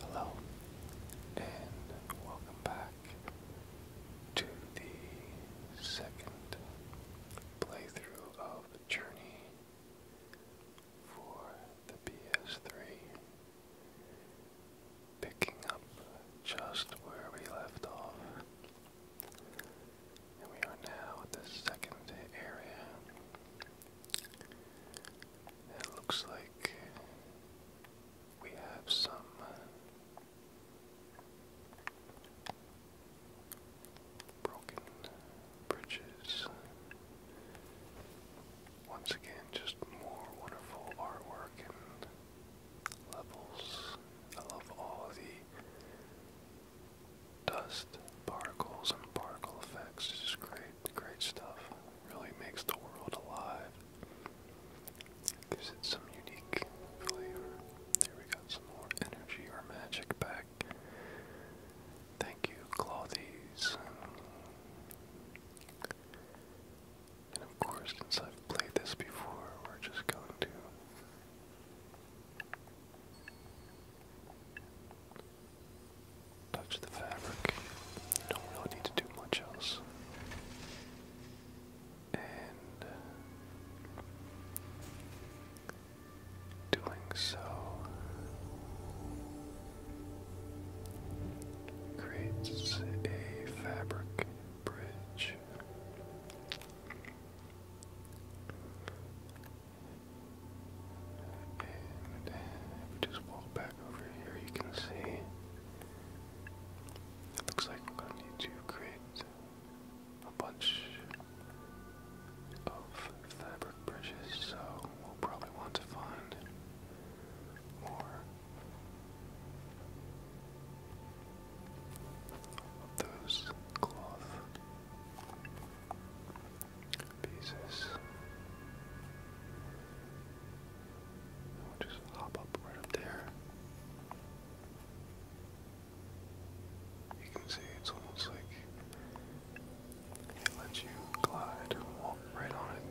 Hello, and welcome back to the second playthrough of Journey for the PS3. Picking up just where we left off. And we are now at the second area. It looks like we have some uh, broken bridges. Once again, just more wonderful artwork and levels. I love all the dust, particles, and particle effects. It's just great, great stuff. Really makes the world alive. Gives it some unique flavor. There we got some more energy or magic back. Thank you, Clothies. And of course, since I've played this before, we're just going to Touch the fabric. don't really need to do much else. And uh, doing so creates a fabric bridge if we just walk back over here, you can see it looks like we're going to need to create a bunch of fabric brushes, so we'll probably want to find more of those cloth pieces. just hop up right there. You can see it's almost like it lets you glide, walk right on it.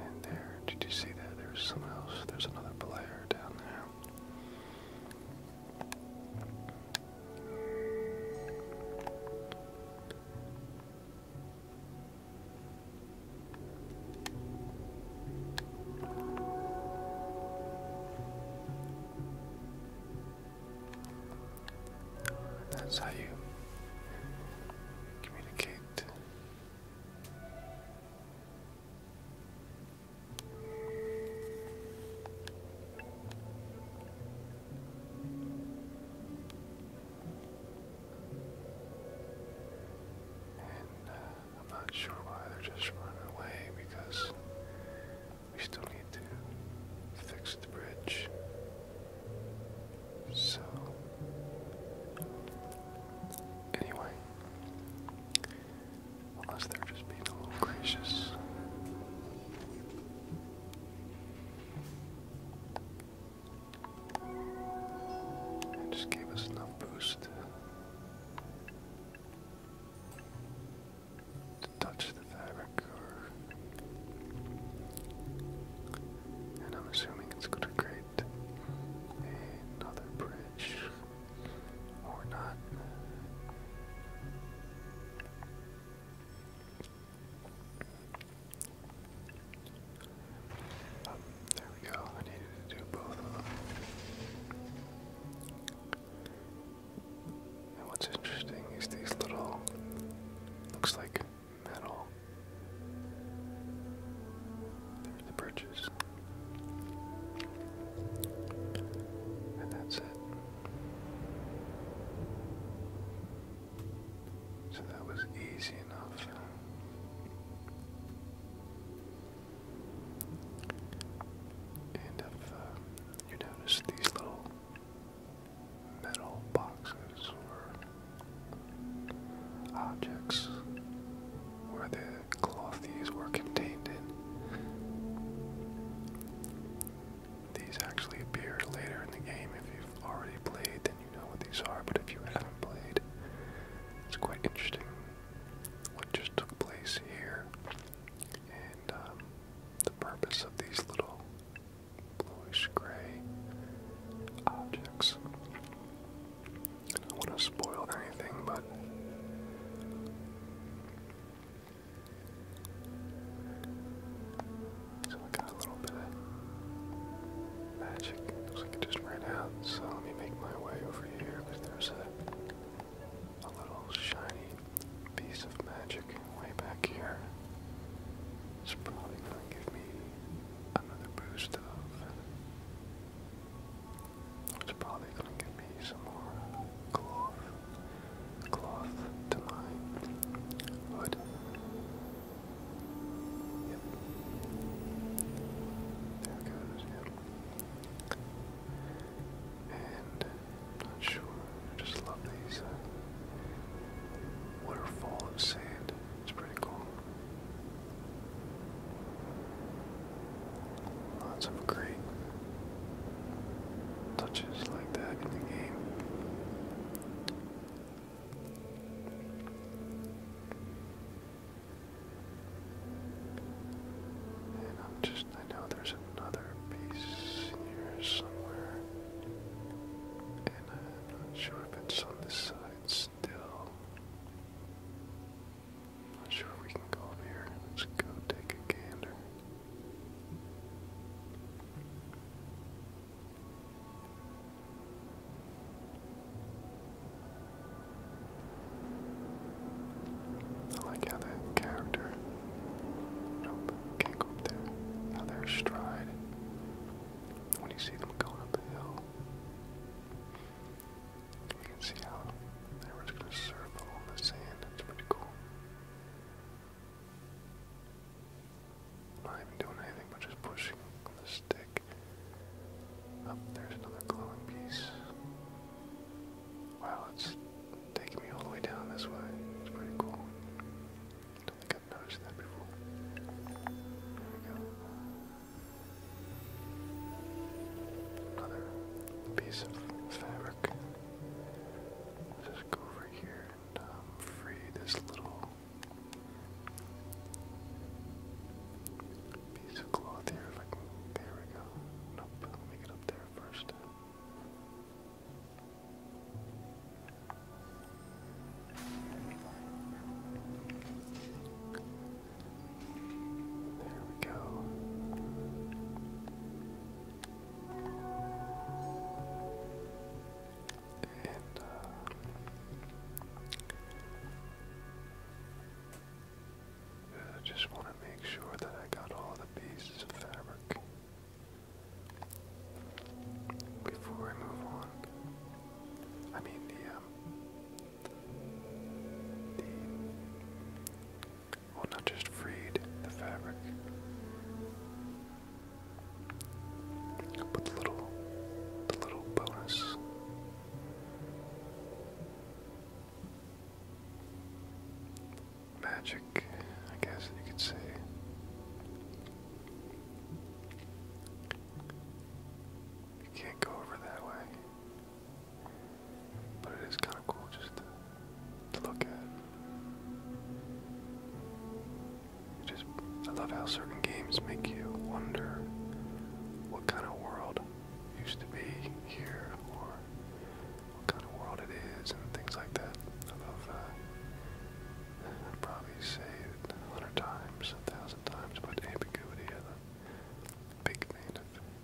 And there, did you see that? There's someone else. There's another player down there. That's how you communicate. And uh, I'm not sure why they're just running away because we still need to fix the bridge. So, anyway, unless they're just being a little gracious. It just gave us enough boost to touch the fabric and I'm assuming it's gonna create another bridge or not there we go. I needed to do both of them. And what's interesting is these little, looks like metal. the bridges. And that's it. So that was easy enough. And if uh, you notice these little metal boxes or objects where the cloth were contained in. These actually appear later in the game. If you've already played, then you know what these are, but if you haven't played, it's quite interesting what just took place here and um, the purpose of these little bluish gray objects. I don't want to spoil anything, but so I got a little bit of magic. Looks like it just ran out. So let me make my way over here because there's a, a little shiny piece of magic way back here. It's probably going to give me another boost of. It's probably going to give me some more uh, glory cloth to my hood. There goes, yep. And not sure, just love these uh, waterfall of sand. It's pretty cool. Lots of great touches like that in the game. And i just, I know there's another piece here somewhere. And I'm not sure if it's on this side still. not sure we can go over here. Let's go take a gander. I like how that character, can't go up there, how they're stride when you see them going up the hill. You can see how they were just going to surf along the sand. It's pretty cool. Not even doing anything but just pushing the stick. Up oh, there's another glowing piece. Wow, it's taking me all the way down this way. It's pretty cool. don't think I've noticed that before. There we go. Another piece of fabric just go over here and um, free this little piece of cloth here. If I can, there we go. Nope, make it up there first. There we go. I uh, just want to make sure that I got all the pieces of fabric before I move on. I mean the um, the well, not just freed the fabric, but little, the little bonus. Magic, I guess you could say. You can't go over that way. But it is kind of cool just to, look at. just, I love how certain games make you wonder what kind of world used to be here, or what kind of world it is, and things like that. I have probably say a hundred times, a thousand times, but ambiguity is a big thing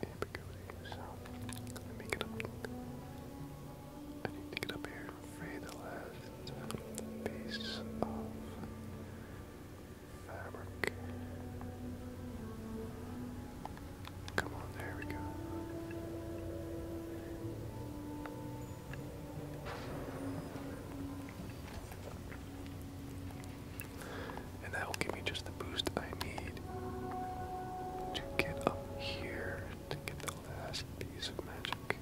ambiguity, so I need to get up here free the last piece of fabric. Come on, there we go and that will give me just the boost I need to get up here to get the last piece of magic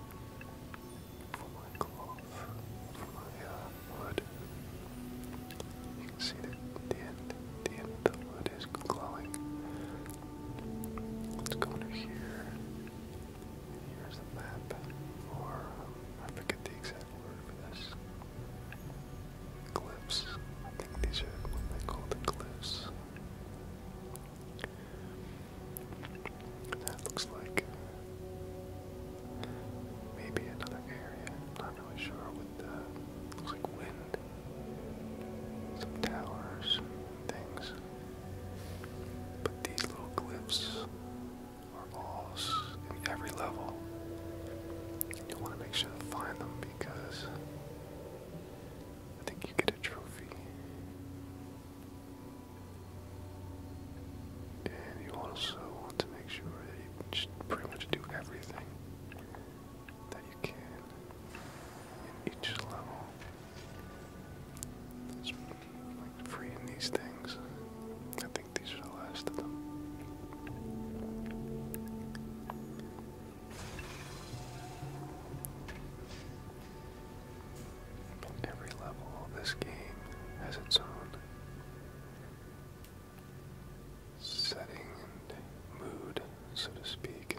for my cloth, for my uh, wood. You can see that the end, the end of the wood is glowing. Let's go under here. Here's the map, or um, I forget the exact word for this cliffs. I think these are what they call the cliffs. That looks like maybe another area. Not really sure. With looks like wind, some towers, things. But these little cliffs are all in every level. You want to make sure to find them because I think you get a trophy. And you also want to make sure that you just pretty much do everything that you can in each level. like freeing these things these are the last of them. Every level of this game has its own setting and mood, so to speak,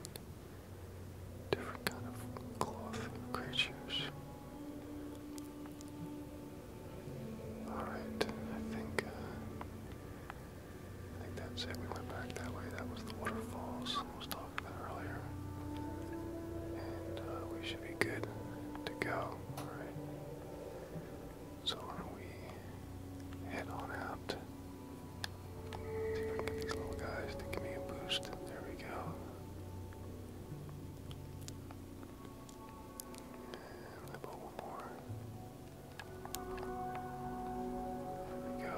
different kind of cloth creatures. Alright, I think uh, I think that's it. We went back that way. That was the waterfalls I was about earlier. And uh, we should be good to go. Alright. So why don't we head on out? See if I can get these little guys to give me a boost. There we go. And about one more. There we go.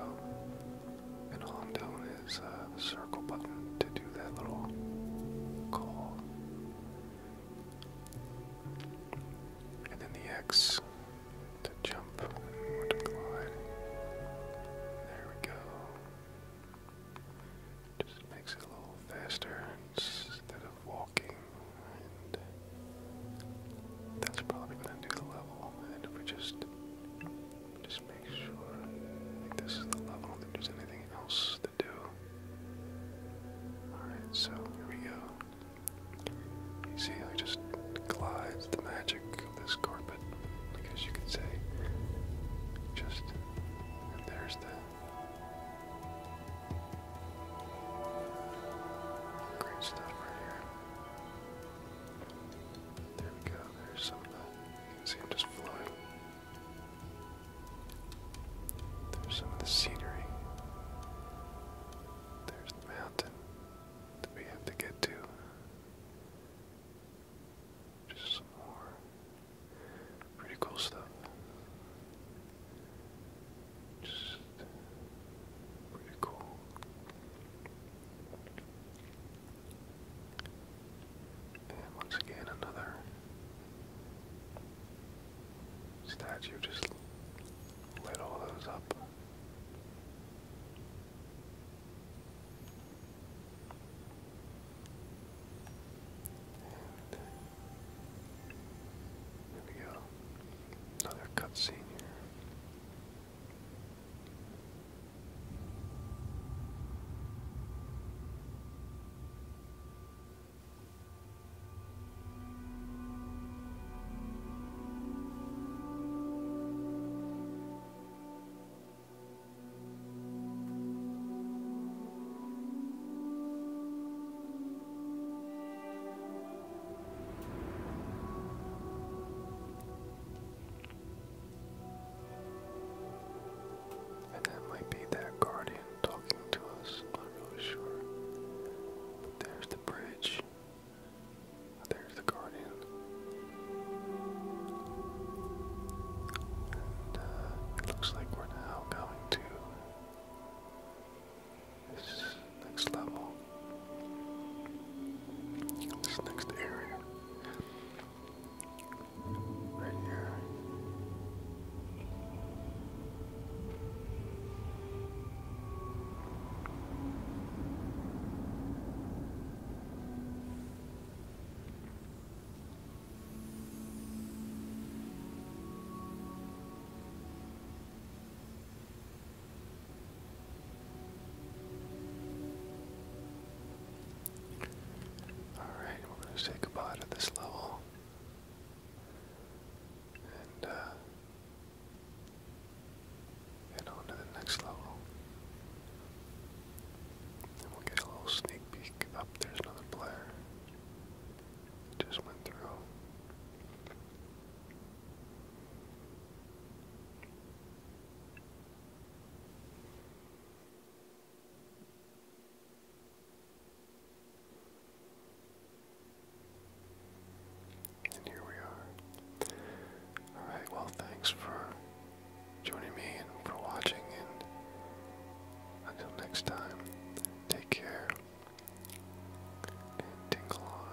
And all I'm doing is uh, the circle button to do that little call. And then the X to jump and to glide. There we go. Just makes it a little faster. It's instead of walking, that's probably gonna do the level. And if we just just make sure this is the level, I think there's anything else to do. Alright, so here we go. You see how just glides the magic of this carpet, I guess you could say. Just and there's that. Great stuff right here. There we go, there's some of the, you can see them just flowing. There's some of the scenery. There's the mountain that we have to get to. Just more Pretty cool stuff. Just pretty cool. And once again, another statue just lit all those up. And there we go. Another cutscene here. And that might be that guardian talking to us, not really sure. But there's the bridge. There's the guardian. And uh, it looks like we're now going to this next level, this next area, right here. Alright, we're going to say goodbye to this level. And head uh, on to the next level. And we'll get a little sneak peek. Up oh, there's another player. Just went through. And here we are. Alright, well, thanks for joining me for watching. And until next time, take care tingle on.